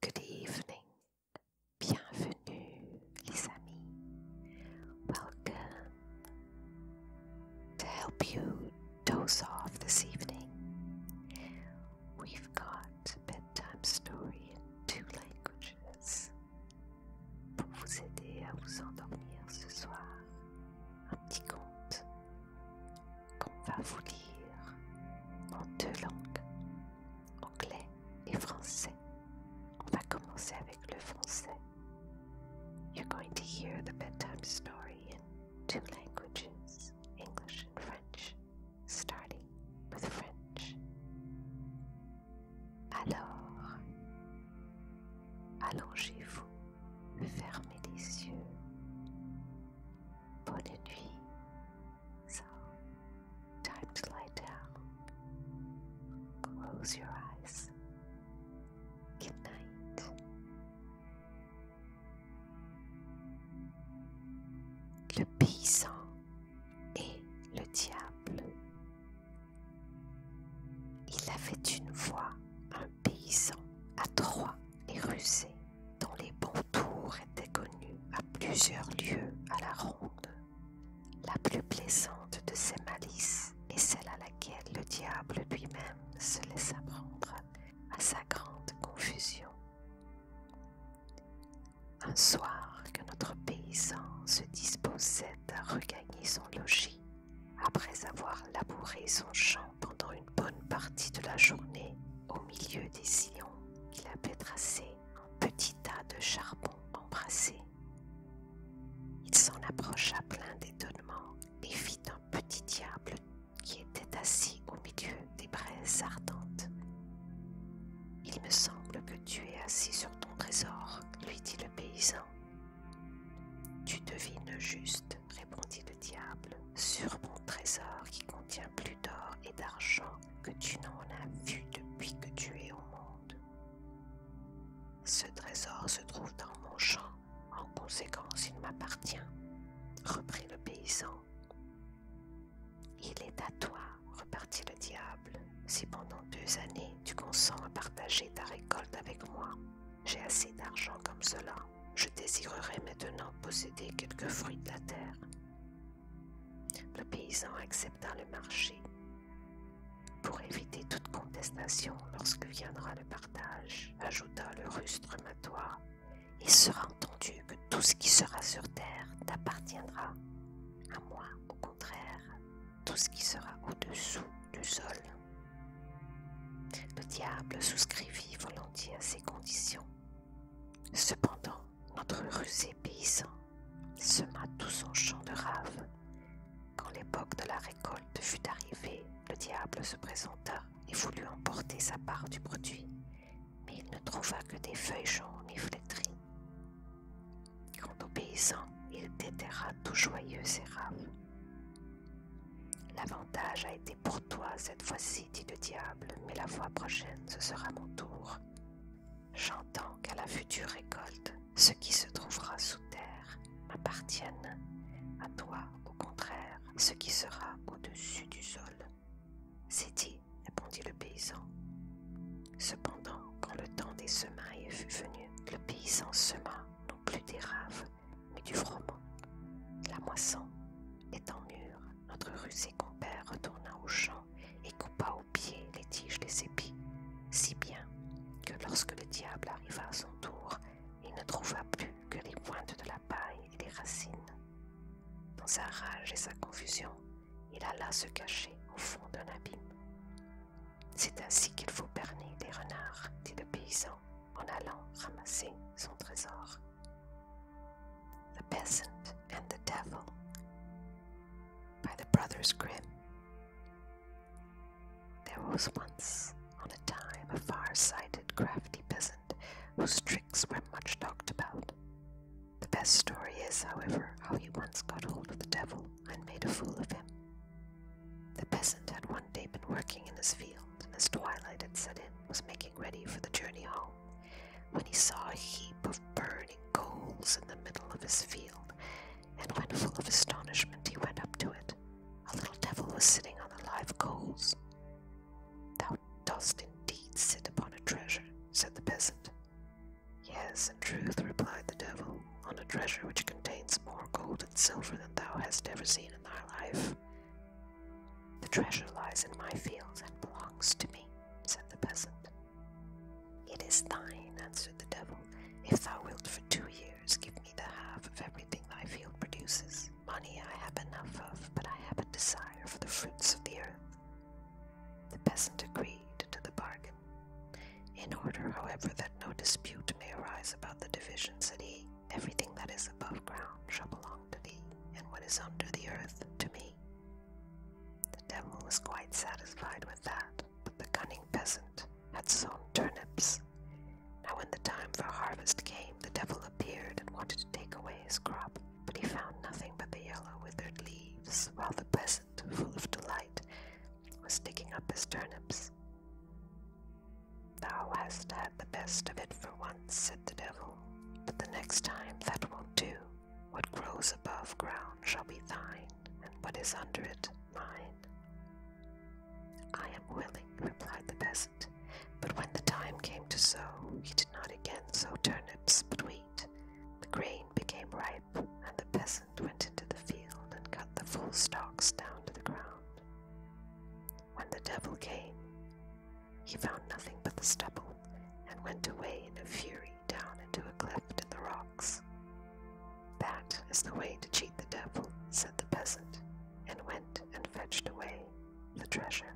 Good evening. Bienvenue, les amis. Welcome. To help you doze off this evening, we've got a bedtime story in two languages pour vous aider à vous endormir ce soir. Un petit conte qu'on va vous lire en deux langues, anglais et français. On va commencer avec le français. You're going to hear the bedtime story in two languages, English and French, starting with French. Alors, allongez-vous, fermez les yeux. Bonne nuit. So, time to lie down. Close your eyes. Good night. Le paysan et le diable. Il avait une voix, un paysan à trois et rusé dans les bons tour était connu à plusieurs lieux à la ronde. La plus plaisante de ces malices est celle à laquelle le diable lui-même se laissa prendre à sa grande confusion. Un soir que notre paysan se disposait à regagner son logis, après avoir labouré son champ pendant une bonne partie de la journée au milieu des sillons qu'il avait tracés en petit tas de charbon embrassé. Il s'en approcha plein d'étonnement et vit un petit diable qui était assis au milieu des braises ardentes. Il me semble que tu es assis sur ton trésor, lui dit le paysan. Tu devines juste, répondit le diable, sur mon trésor qui contient plus d'or et d'argent que tu n'en as vu depuis que tu es au monde. Ce trésor se trouve dans mon champ, en conséquence il m'appartient, reprit le paysan. Il est à toi, repartit le diable, si pendant deux années tu consens à partager ta récolte avec moi. J'ai assez d'argent comme cela je désirerais maintenant posséder quelques fruits de la terre. Le paysan accepta le marché. Pour éviter toute contestation lorsque viendra le partage, ajouta le rustre matois, il sera entendu que tout ce qui sera sur terre t'appartiendra. À moi, au contraire, tout ce qui sera au-dessous du sol le diable souscrivit volontiers à ces conditions. Cependant, notre rusé paysan sema tout son champ de raves. Quand l'époque de la récolte fut arrivée, le diable se présenta et voulut emporter sa part du produit, mais il ne trouva que des feuilles jaunes et flétries. Quant au paysan, il déterra tout joyeux ses raves. L'avantage a été pour toi cette fois-ci, dit le diable, mais la fois prochaine, ce sera mon tour. J'entends qu'à la future récolte, ce qui se trouvera sous terre m'appartienne. À toi, au contraire, ce qui sera au-dessus du sol. C'est dit, répondit le paysan. Cependant, quand le temps des semailles fut venu, le paysan sema non plus des raves mais du froment. La moisson étant mûre, notre rusé compère retourna au champ et coupa aux pieds les tiges des épis, si bien que lorsque le diable arriva à son tour, il ne trouva plus que les pointes de la paille et les racines. Dans sa rage et sa confusion, il alla se cacher au fond d'un abîme. C'est ainsi qu'il faut berner les renards, dit le paysan en allant ramasser son trésor. The Peasant and the Devil by the Brothers Grimm. There was once on a time a far-sighted crafty peasant whose tricks were much talked about. The best story is, however, how he once got hold of the devil and made a fool of him. The peasant had one day been working in his field, and as twilight had set in, was making ready for the journey home, when he saw a heap of burning coals in the middle of his field, and full of astonishment he went up to it, a little devil was sitting on the live coals. Thou dost indeed sit upon a treasure, said the peasant. Yes, in truth, replied the devil, on a treasure which contains more gold and silver than thou hast ever seen in my life. The treasure lies in my fields and belongs to me, said the peasant. It is thine, answered the devil. If thou wilt for two years give me the half of everything thy field produces, money I have enough of, but I have a desire for the fruits of the earth. The peasant agreed to the bargain. In order, however, that no dispute may arise about the division, said he, Everything that is above ground shall belong to thee, and what is under the earth to me. The devil was quite satisfied with that, but the cunning peasant had sown turnips. Now, when the time for harvest came, the devil appeared and wanted to take away his crop, but he found nothing but the yellow, withered leaves, while the peasant, full of delight, was digging up his turnips. Thou hast had the best of it for once, said the devil, but the next time that won't do. What grows above ground shall be thine, and what is under it mine. I am willing, replied the peasant, but when the time came to sow, he did not again sow turnips but wheat. The grain became ripe, and the peasant peasant went into the field and cut the full stalks down to the ground. When the devil came, he found nothing but the stubble and went away in a fury down into a cleft in the rocks. That is the way to cheat the devil, said the peasant, and went and fetched away the treasure.